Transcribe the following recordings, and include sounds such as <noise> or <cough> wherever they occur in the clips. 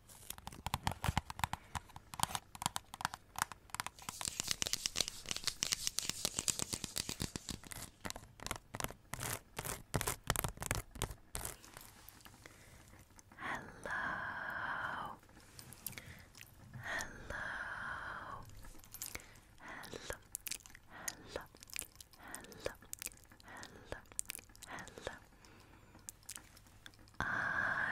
Hello. Hello. Hello. Hello. Hello. Hello. I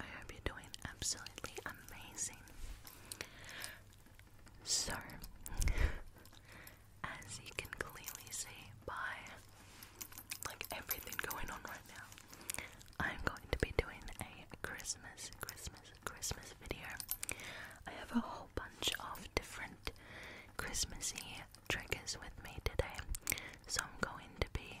I hope you're doing absolutely amazing. So, as you can clearly see by like everything going on right now, I'm going to be doing a Christmas, Christmas, Christmas video. I have a whole bunch of different Christmassy triggers with me today, so I'm going to be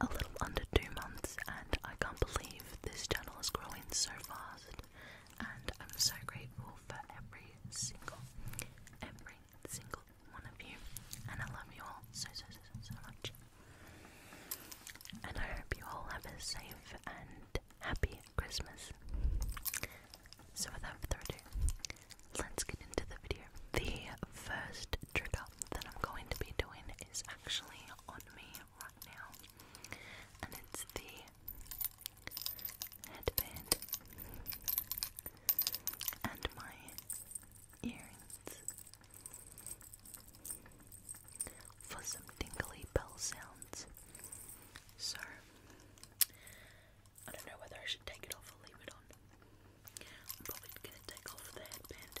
a little under two months, and I can't believe this channel is growing so fast. And I'm so grateful for every single, every single one of you. And I love you all so, so, so, so, much. And I hope you all have a safe and happy Christmas. So without further ado, let's get into the video. The first trigger that I'm going to be doing is actually on me right now, and it's the headband and my earrings for some tingly bell sounds. So, I don't know whether I should take it off or leave it on. I'm probably gonna take off the headband.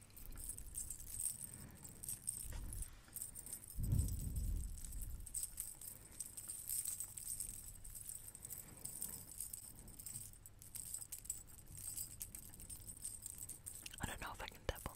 I don't know if I can tap them.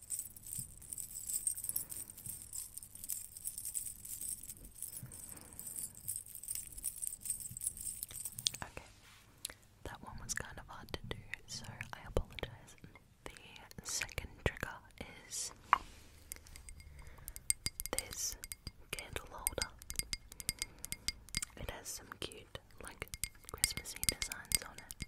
Okay, that one was kind of hard to do, so I apologize. The second trigger is this candle holder. It has some cute, like, Christmassy designs on it.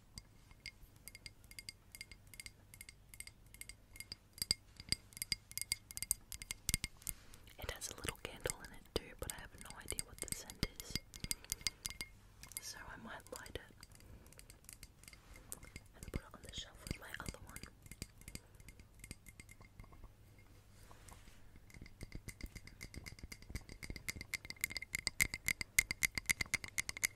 It has a little candle in it too, but I have no idea what the scent is. So I might light it and put it on the shelf with my other one.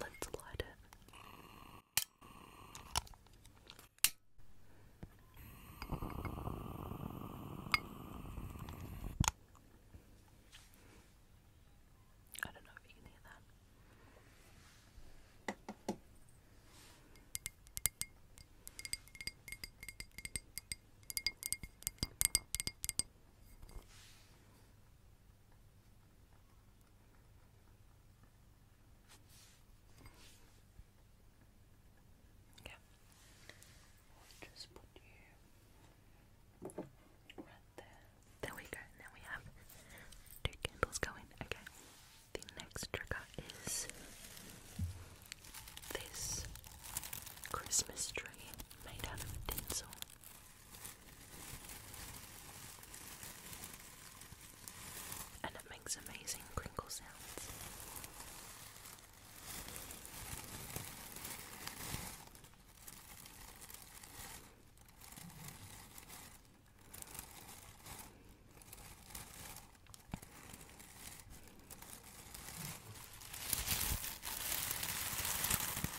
Let's light it. I don't know if you can hear that. Okay. you there. we go. Now we have two candles going. Okay. The next trigger is this Christmas tree made out of tinsel and it makes amazing crinkle sounds.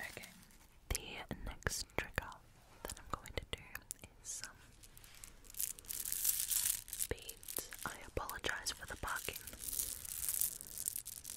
Okay, the next trigger that I'm going to do is some um, beads. I apologize for the parking.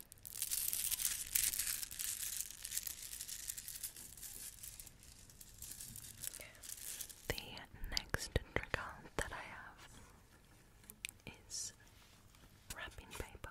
The next trigger that I have is wrapping paper.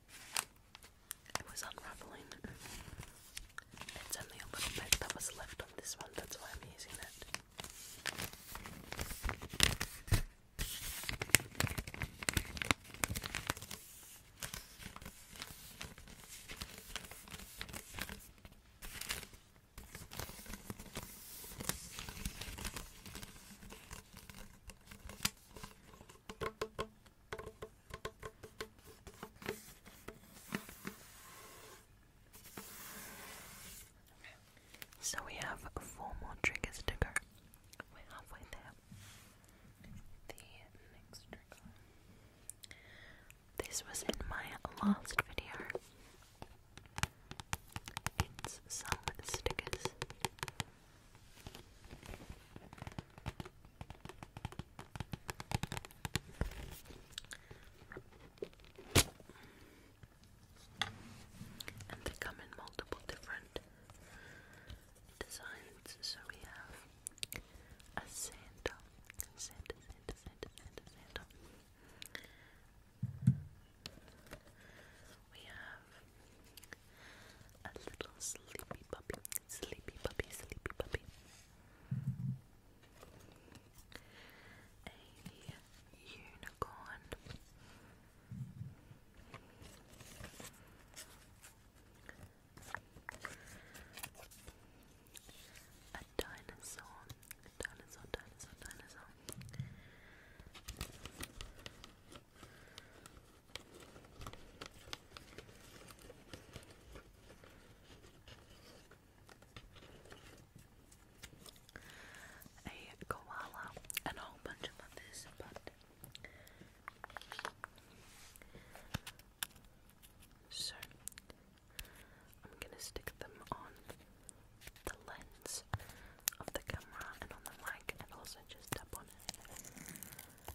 It was unraveling. It's only a little bit that was left on this one, that's why I'm using it. So we have four more triggers to go. We're halfway there. The next trigger. This was in my last video. It's some stickers. And they come in multiple different designs. So we have a Santa, We have a little sleepy puppy, sleepy puppy, sleepy puppy. A unicorn. A dinosaur, dinosaur, dinosaur, dinosaur a koala, and a whole bunch of others, but so I'm gonna stick them on the lens of the camera and on the mic, and also just tap on it.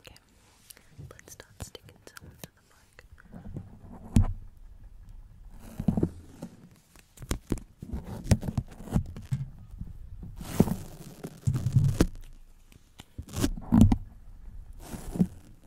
Okay, let's start sticking some to the mic.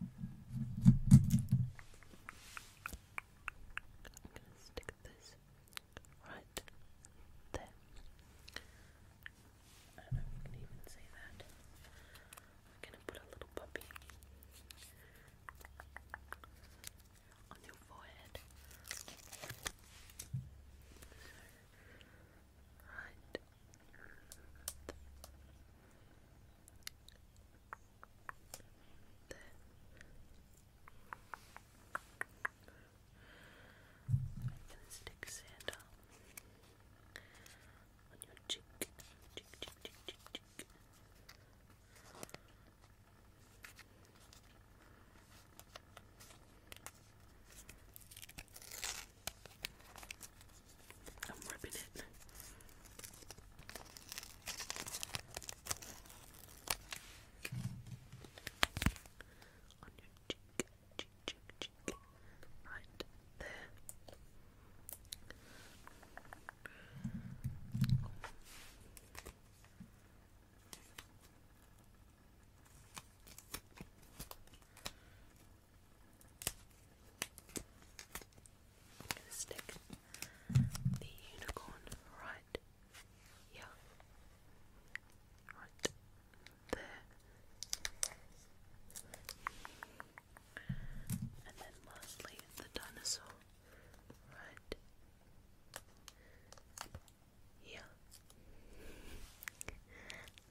I'm gonna stick this right there. I don't know if you can even see that. I'm gonna put a little puppy on your forehead. right. I'm gonna stick sand on your cheek. cheek, cheek, cheek, cheek, cheek. I'm ripping it. On your cheek, cheek, cheek, cheek. Right there. I'm gonna stick the unicorn right here, right there, and then lastly the dinosaur right here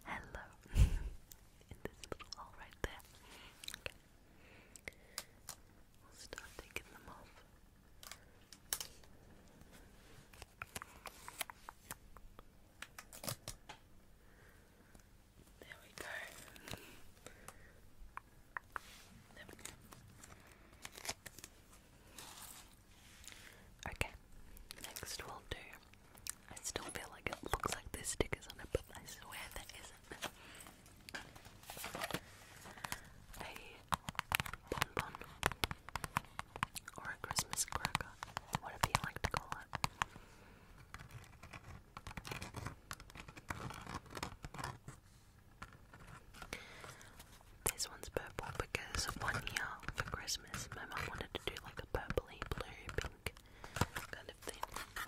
hello <laughs> in this little hole right there. Okay. We'll start taking them off. There we go. There we go. Okay, next we'll do I still feel like it looks like there's stickers on it, but I swear there isn't. A bonbon or a Christmas cracker, whatever you like to call it. This one's purple because one year for Christmas my mum wanted to do like a purpley blue pink kind of thing.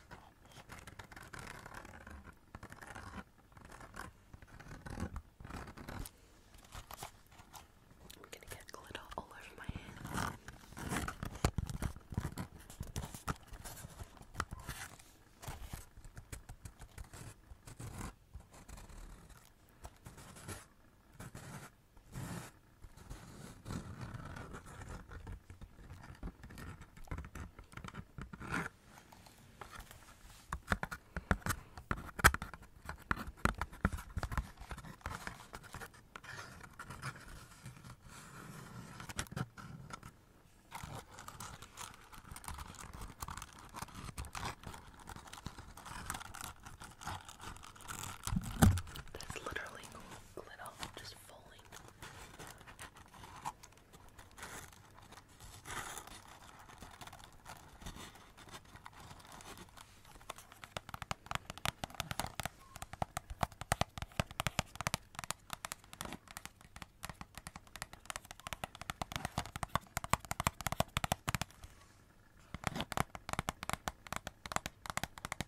I'm gonna get glitter all over my hand. That's literally glitter just falling.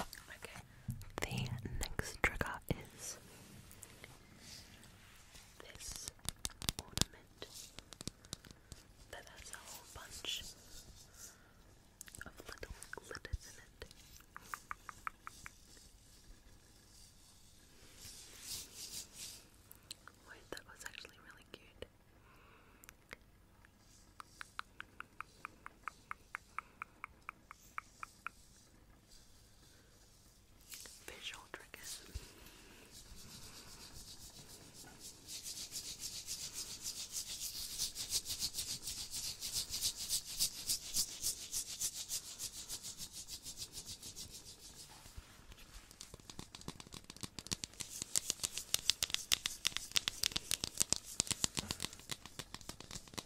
Okay. The next trigger is this ornament that has a whole bunch of little glitters in it. Wait, that was actually really cute. Visual triggers.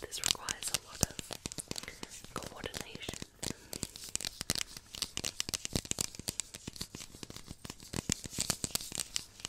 This requires a lot of coordination.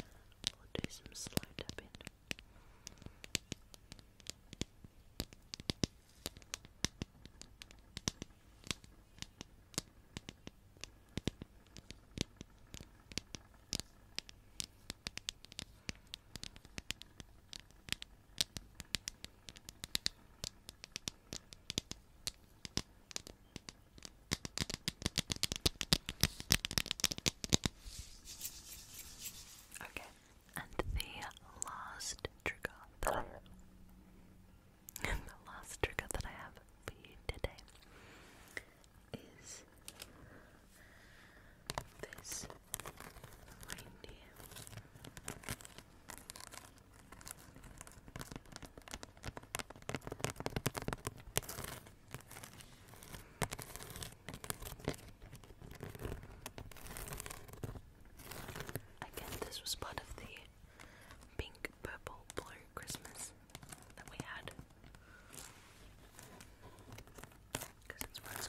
We'll do some slow tapping. Just Okay, and the last trigger <laughs> the last trigger that I have for you today is this reindeer guess this was part of the pink, purple, blue Christmas that we had. Because it's what it's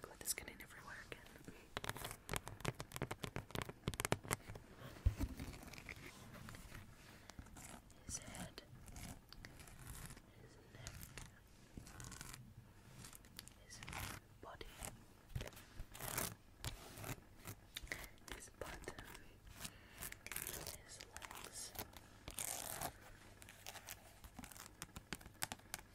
Glad this can never wear again. His head, his neck, his body, his butt, his legs.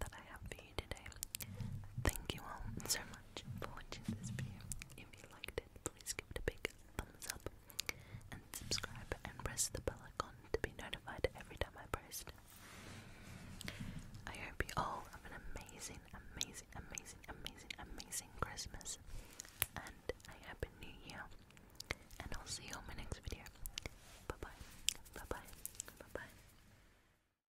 that I have for you today. Thank you all so much for watching this video. If you liked it, please give it a big thumbs up and subscribe and press the bell icon to be notified every time I post. I hope you all have an amazing, amazing, amazing, amazing, amazing Christmas and a happy new year. And I'll see you in my next video. Bye bye. Bye bye. Bye bye.